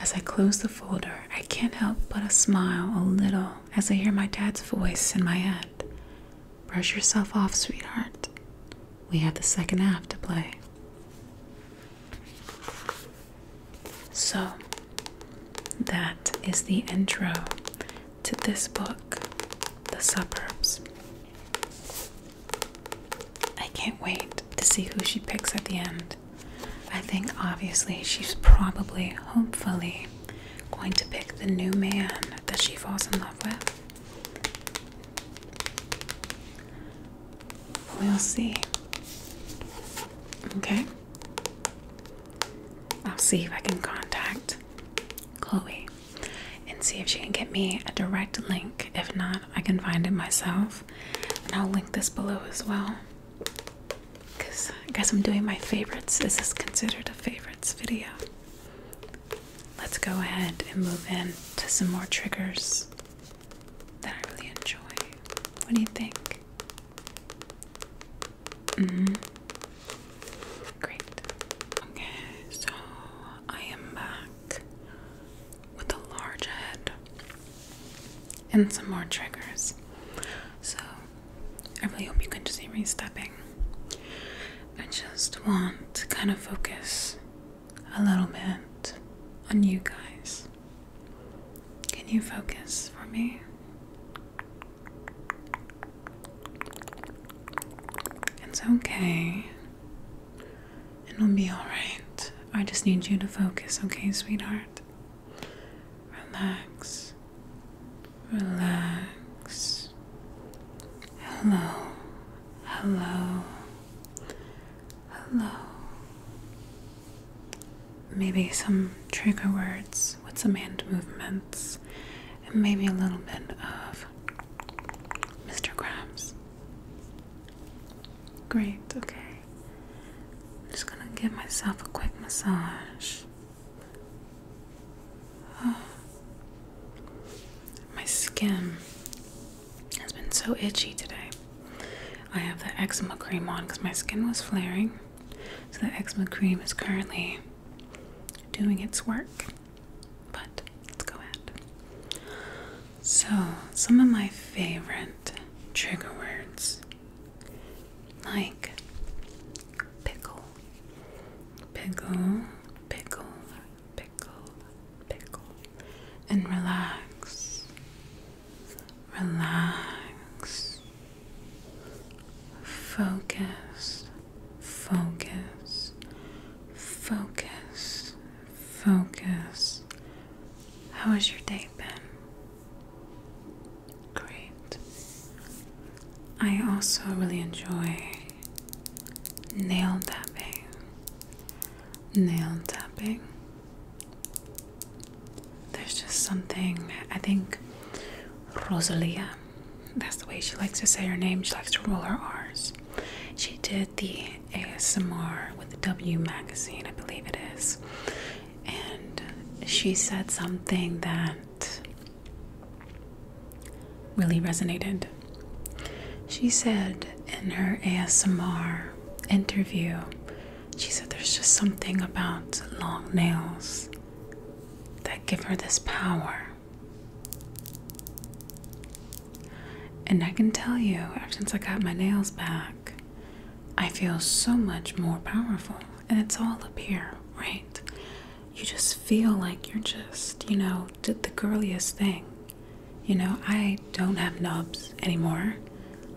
As I close the folder, I can't help but smile a little as I hear my dad's voice in my head. Brush yourself off, sweetheart. We have the second half to play. So, that is the intro to this book, The Suburbs. I can't wait to see who she picks at the end. I think obviously she's probably, hopefully, going to pick the new man that she falls in love with. We'll see. Okay? I'll see if I can contact Chloe and see if she can get me a direct link. If not, I can find it myself. And I'll link this below as well. Because I guess I'm doing my favorites. Is this considered a favorites video? Let's go ahead and move in to some more triggers that I really enjoy. What do you think? Mm-hmm. Great. Okay, so I am back with a large head and some more triggers. So I really hope you can just hear me stepping. I just want to kind of focus a little bit on you guys. Can you focus for me? It's okay. It'll be alright. I just need you to focus, okay, sweetheart? Relax. Relax. Hello. Hello. Hello maybe some trigger words with some hand movements, and maybe a little bit of Mr. Krabs. Great, okay. I'm just gonna give myself a quick massage. <sighs> My skin has been so itchy today. I have the eczema cream on because my skin was flaring. So the eczema cream is currently doing its work. But let's go ahead. So, some of my favorite trigger words like pickle, pickle, pickle, pickle, pickle, and relax, relax, focus, focus, focus, focus. How has your day been? Great. I also really enjoy nail tapping. Nail tapping there's just something I think Rosalia that's the way she likes to say her name she likes to roll her R's she did the ASMR with the W magazine I believe it is and she said something that really resonated she said in her ASMR interview she said there's just something about long nails that give her this power. And I can tell you, ever since I got my nails back, I feel so much more powerful. And it's all up here, right? You just feel like you're just, you know, did the girliest thing. You know, I don't have nubs anymore,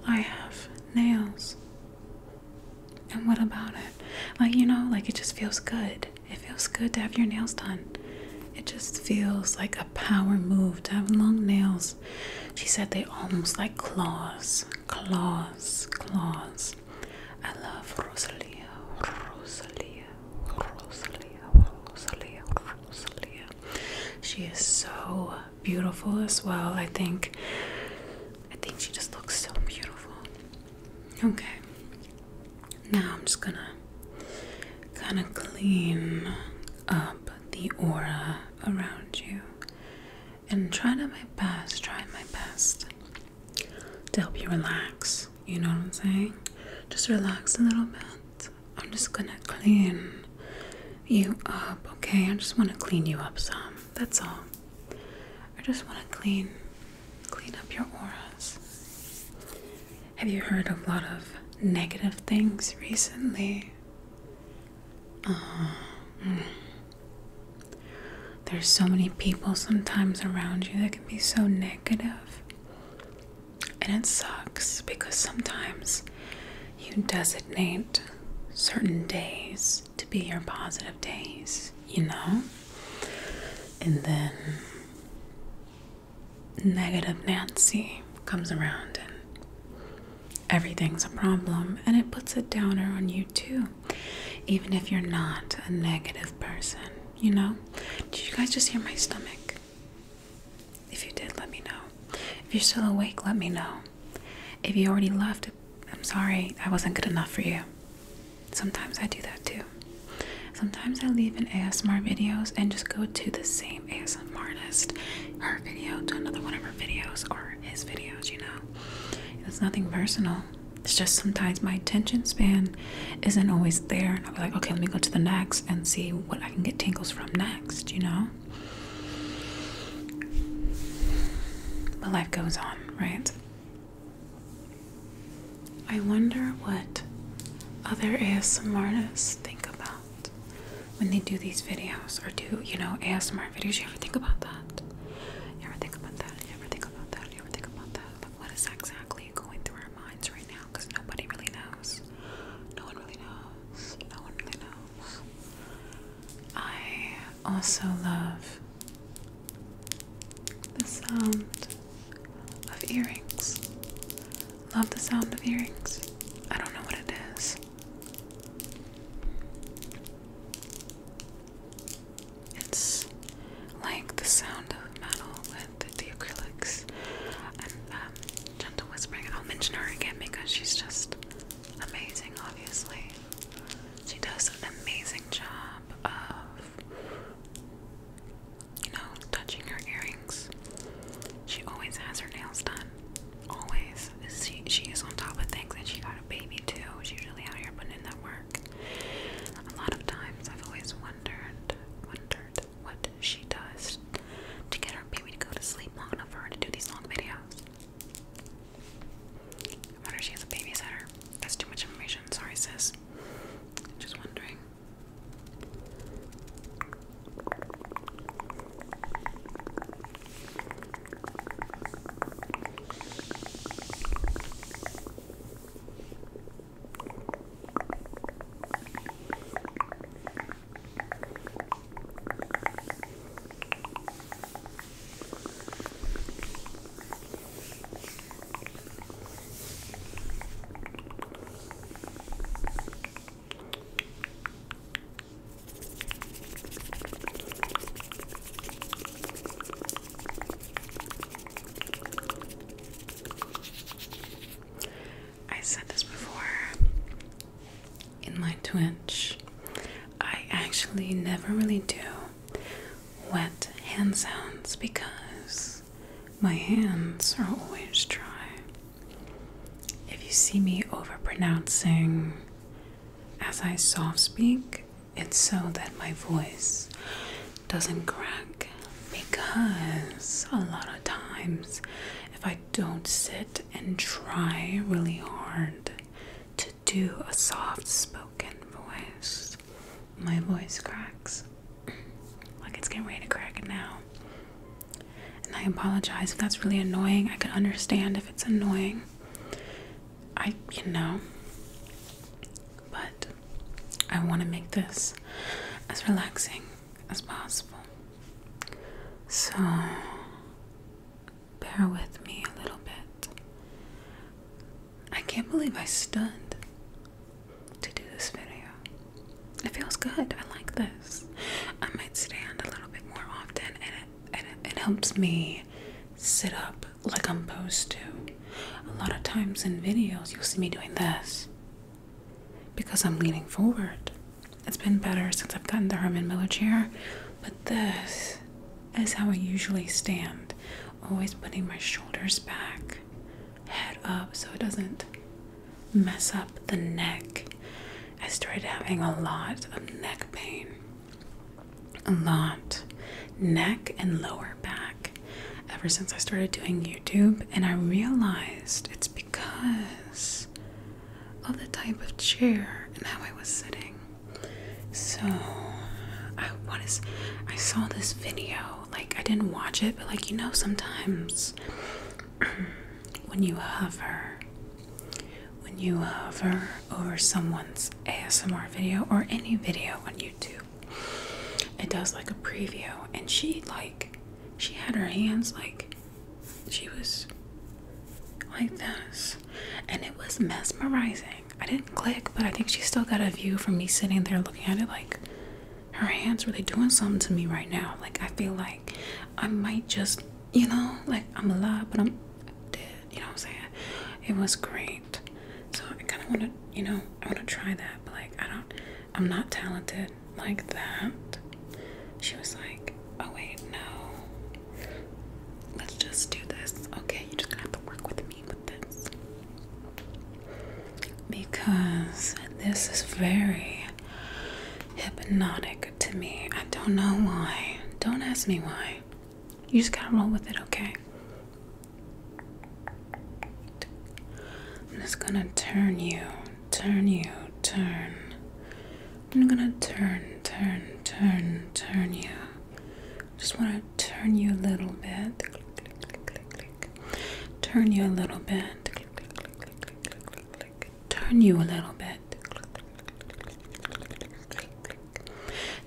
I have nails. And what about it? Like, you know, like it just feels good. It feels good to have your nails done. It just feels like a power move to have long nails. She said they almost like claws, claws, claws. I love Rosalia, Rosalia, Rosalia, Rosalia, Rosalia. She is so beautiful as well. I think I think she just looks so beautiful. Okay. Now I'm just gonna kind of clean up the aura around you and try to my best, try my best to help you relax. You know what I'm saying? Just relax a little bit. I'm just gonna clean you up, okay? I just wanna clean you up some. That's all. I just want to clean clean up your auras. Have you heard a lot of negative things recently? Oh. There's so many people sometimes around you that can be so And it sucks because sometimes you designate certain days to be your positive days, you know? And then negative Nancy comes around and everything's a problem and it puts a downer on you too, even if you're not a negative person, you know? Did you guys just hear my stomach? If you did, let me know. If you're still awake, let me know. If you already left, I'm sorry I wasn't good enough for you. Sometimes I do that too. Sometimes I leave an ASMR videos and just go to the same ASMR artist, her video to another one of her videos or his videos, you know. It's nothing personal. It's just sometimes my attention span isn't always there. And i am like, okay, let me go to the next and see what I can get tingles from next, you know? But life goes on, right? I wonder what other ASMR artists think about when they do these videos or do, you know, ASMR videos. You ever think about that? You ever think about that? You ever think about that? You ever think about that? Like, what is exactly going through our minds right now? Because nobody really knows. No one really knows. No one really knows. I also love the sound of earrings. Love the sound of earrings. I don't know what it is. It's like the sound of metal with the acrylics and um, gentle whispering. I'll mention her again because she's just amazing, obviously. She does an amazing job of, you know, touching her earrings. She always has her nails done. Always. She, she is on top of things and she got a baby too. She's really out here putting in that work. A lot of times I've always wondered, wondered what she does to get her baby to go to sleep long enough for her to do these long videos. I wonder if she has a babysitter. That's too much information. Sorry, sis. Just wondering. I said this before in my Twitch. I actually never really do wet hand sounds because my hands are always dry. If you see me overpronouncing as I soft speak, it's so that my voice doesn't crack because a lot of times if I don't sit and try really hard to do a soft spoken voice. My voice cracks. like it's getting ready to crack now. And I apologize if that's really annoying. I can understand if it's annoying. I, you know, but I want to make this as relaxing as possible. So bear with me a little bit I can't believe I stood to do this video. It feels good. I like this. I might stand a little bit more often, and it, it helps me sit up like I'm supposed to. A lot of times in videos, you'll see me doing this because I'm leaning forward. It's been better since I've gotten the Herman Miller chair, but this is how I usually stand always putting my shoulders back, head up, so it doesn't mess up the neck. I started having a lot of neck pain. A lot. Neck and lower back ever since I started doing YouTube, and I realized it's because of the type of chair and how I was sitting. So I what is I saw this video like I didn't watch it but like you know sometimes <clears throat> when you hover when you hover over someone's ASMR video or any video on YouTube it does like a preview and she like she had her hands like she was like this and it was mesmerizing I didn't click, but I think she still got a view from me sitting there looking at it like her hand's were they doing something to me right now. Like I feel like I might just, you know, like I'm alive, but I'm dead. You know what I'm saying? It was great. So I kind of want to, you know, I want to try that, but like I don't, I'm not talented like that. She was like, oh wait, no. Let's just do this. Okay, you're just gonna have to work with me because this is very hypnotic to me. I don't know why. Don't ask me why. You just gotta roll with it, okay? I'm just gonna turn you, turn you, turn. I'm gonna turn, turn, turn, turn you. Just want to turn you a little bit. Click, click, click, click, click. Turn you a little bit. Turn you a little bit.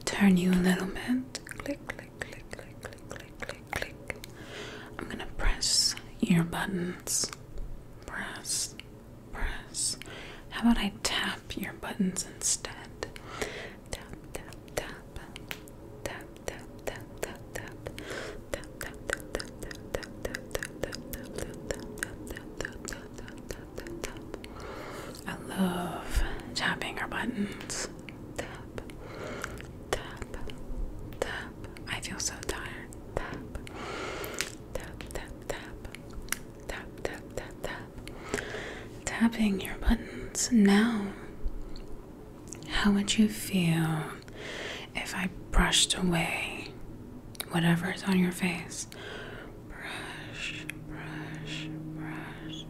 Turn you a little bit. I'm gonna press your buttons. Press, press. How about I tap your buttons instead? I love tapping our buttons. I feel so tired. Tapping your buttons now. How would you feel if I brushed away whatever is on your face? Brush, brush, brush.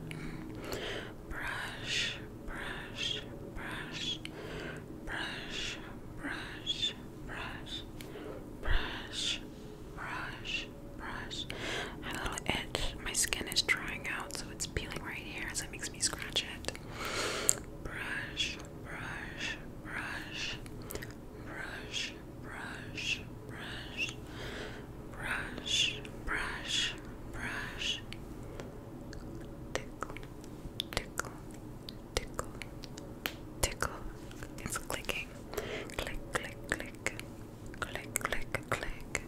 Brush, brush, brush. Brush, brush, brush. Brush, brush, brush. I had a little itch. My skin is drying so it's peeling right here, so it makes me scratch it. Brush, brush, brush, brush, brush, brush, brush, brush, brush. Tickle, tickle, tickle, tickle. It's clicking. Click, click, click, click, click, click,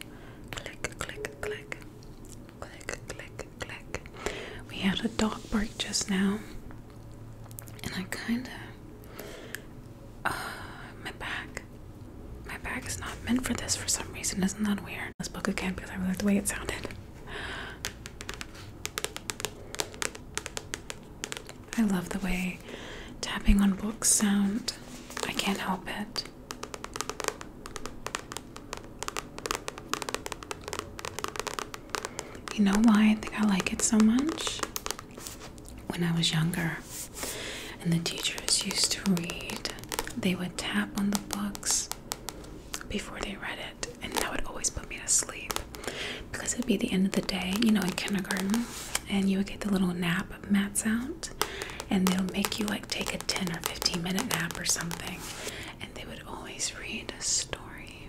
click, click, click, click, click, click, We had a dog bark just now, and I kind of, uh, my back, my back is not meant for this for some reason. Isn't that weird? This book again because I really like the way it sounded. I love the way tapping on books sound. I can't help it. You know why I think I like it so much? When I was younger and the teachers used to read, they would tap on the books before they read it, and that would always put me to sleep because it'd be the end of the day, you know, in kindergarten, and you would get the little nap mats out and they'll make you like take a 10 or 15 minute nap or something. And they would always read a story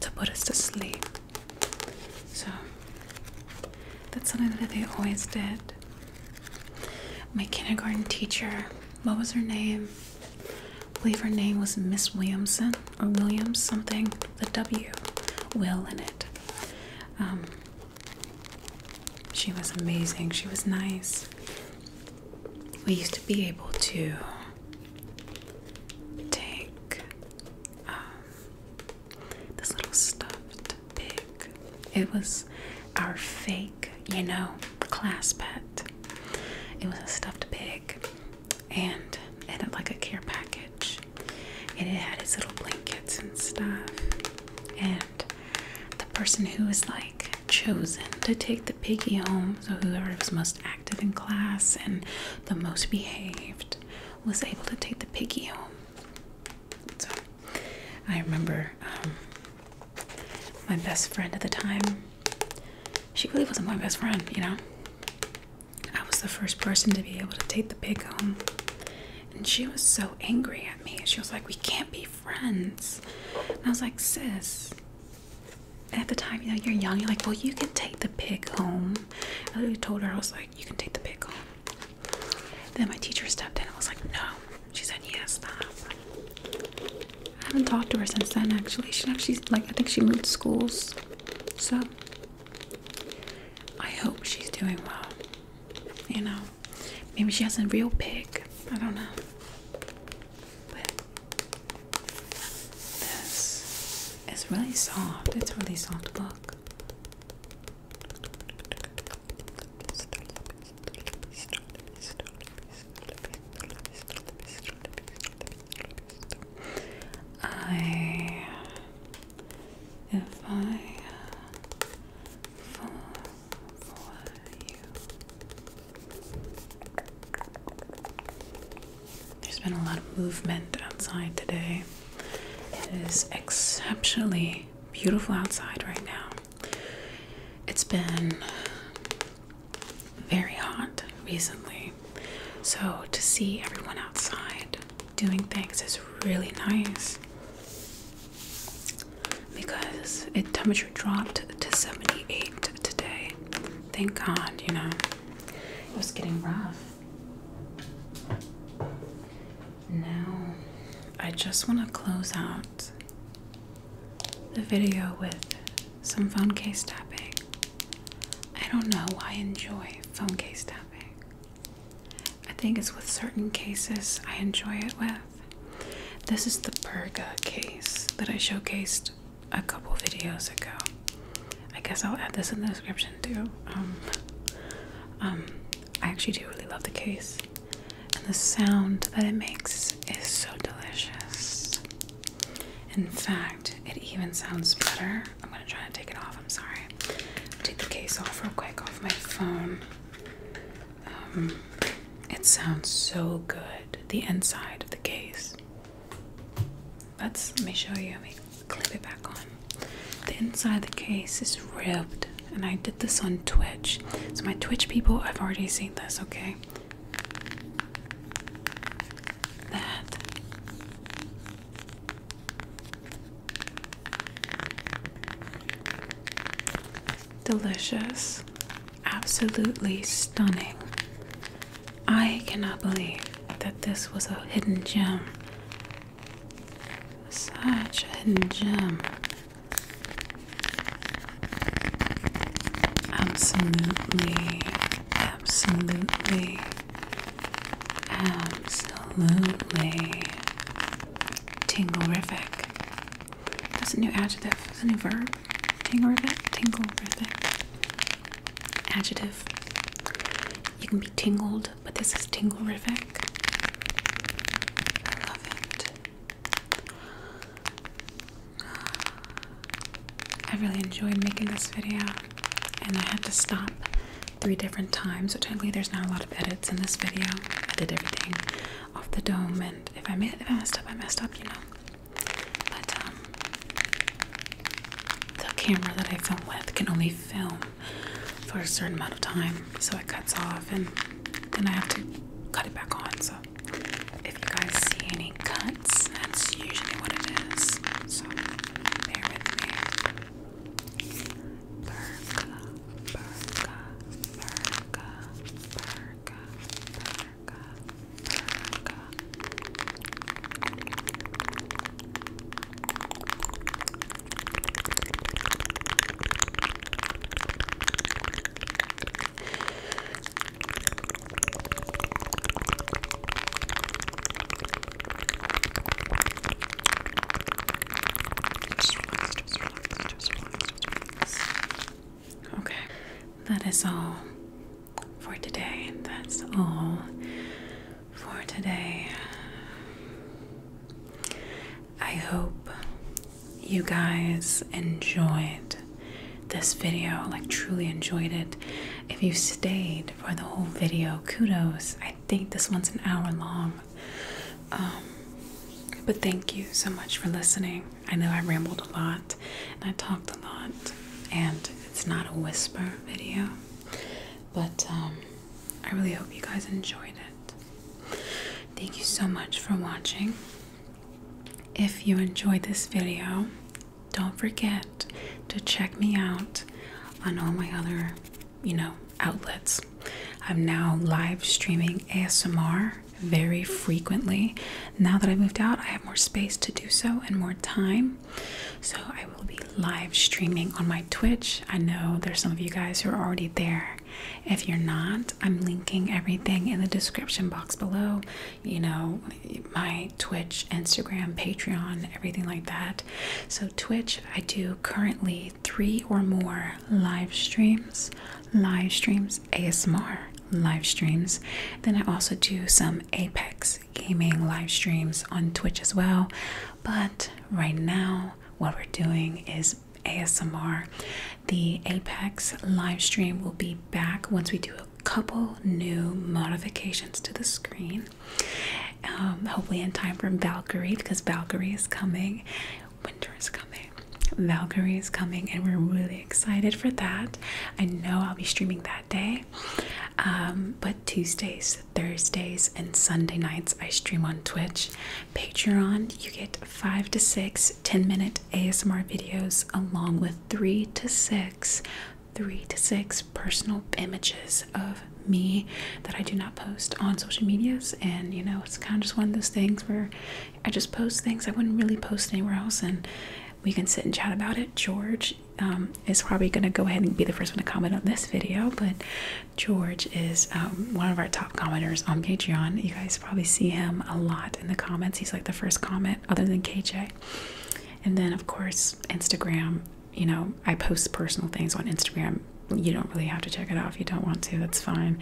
to put us to sleep. So that's something that they always did. My kindergarten teacher, what was her name? I believe her name was Miss Williamson or Williams something, the W, Will in it. Um, she was amazing. She was nice. We used to be able to take um, this little stuffed pig. It was our fake, you know, class pet. It was a stuffed pig and it had like a care package and it had its little blankets and stuff. And the person who was like chosen to take the piggy home. So, whoever was most active in class and the most behaved was able to take the piggy home. So, I remember um, my best friend at the time, she really wasn't my best friend, you know. I was the first person to be able to take the pig home. And she was so angry at me. She was like, We can't be friends. And I was like, sis, at the time, you know, you're young, you're like, well, you can take the pig home. I literally told her, I was like, you can take the pig home. Then my teacher stepped in, I was like, no. She said, yes, ma'am." I haven't talked to her since then, actually. She actually, like, I think she moved schools. So, I hope she's doing well, you know. Maybe she has a real pig. I don't know. But this is really soft. It's a really soft book. I if I there's been a lot of movement outside today. It is exceptionally beautiful outside right now. It's been very hot recently, so to see everyone outside doing things is really nice because it temperature dropped to 78 today. Thank God, you know. It was getting rough. Now, I just want to close out the video with some phone case tapping. I don't know why I enjoy phone case tapping. I think it's with certain cases I enjoy it with. This is the Perga case that I showcased a couple videos ago. I guess I'll add this in the description too. Um, um, I actually do really love the case, and the sound that it makes is so delicious. In fact, it even sounds better. I'm gonna try to take it off. I'm sorry. Take the case off real quick off my phone. Um, it sounds so good. The inside of the case. Let's let me show you. Let me clip it back on. The inside of the case is ribbed, and I did this on Twitch. So my Twitch people, I've already seen this. Okay. That delicious, absolutely stunning. I cannot believe that this was a hidden gem. Such a hidden gem. Absolutely, absolutely, absolutely tingorific. That's a new adjective. That's a new verb. Tingle Tingle Tinglerific. Adjective. You can be tingled, but this is tinglerific. I love it. I really enjoyed making this video, and I had to stop three different times, which I believe there's not a lot of edits in this video. I did everything off the dome, and if I if I messed up, I messed up, you know. But um, the camera that I filmed with can only film for a certain amount of time, so it cuts off, and then I have to cut it back on. So if you guys see any cuts, that's usually what it is. So bear with me. Burka, burka, burka, America, America. Just relax, just relax, just relax, just relax. Okay that is all for today. That's all for today. I hope you guys enjoyed this video, like, truly enjoyed it. If you stayed for the whole video, kudos. I think this one's an hour long. Um, but thank you so much for listening. I know I rambled a lot and I talked a lot, and it's not a whisper video, but um, I really hope you guys enjoyed it. Thank you so much for watching. If you enjoyed this video, don't forget to check me out on all my other, you know, outlets. I'm now live streaming ASMR very frequently. Now that I moved out, I have more space to do so and more time. So I will be live streaming on my Twitch. I know there's some of you guys who are already there. If you're not, I'm linking everything in the description box below. You know, my Twitch, Instagram, Patreon, everything like that. So, Twitch, I do currently three or more live streams live streams, ASMR live streams. Then I also do some Apex gaming live streams on Twitch as well. But right now, what we're doing is ASMR. The Apex live stream will be back once we do a couple new modifications to the screen. Um, hopefully, in time for Valkyrie because Valkyrie is coming, winter is coming. Valkyrie is coming, and we're really excited for that. I know I'll be streaming that day, um, but Tuesdays, Thursdays, and Sunday nights I stream on Twitch. Patreon, you get five to six minute ASMR videos along with three to six. Three to six personal images of me that I do not post on social medias, and you know, it's kind of just one of those things where I just post things I wouldn't really post anywhere else, and we can sit and chat about it. George um, is probably going to go ahead and be the first one to comment on this video, but George is um, one of our top commenters on Patreon. You guys probably see him a lot in the comments. He's like the first comment, other than KJ. And then, of course, Instagram. You know, I post personal things on Instagram. You don't really have to check it out if you don't want to. That's fine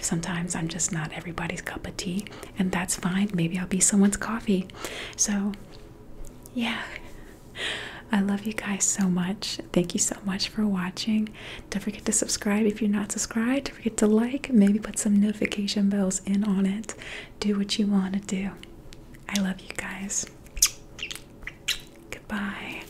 sometimes I'm just not everybody's cup of tea, and that's fine. Maybe I'll be someone's coffee. So, yeah, I love you guys so much. Thank you so much for watching. Don't forget to subscribe if you're not subscribed. Don't forget to like, maybe put some notification bells in on it. Do what you want to do. I love you guys. Goodbye.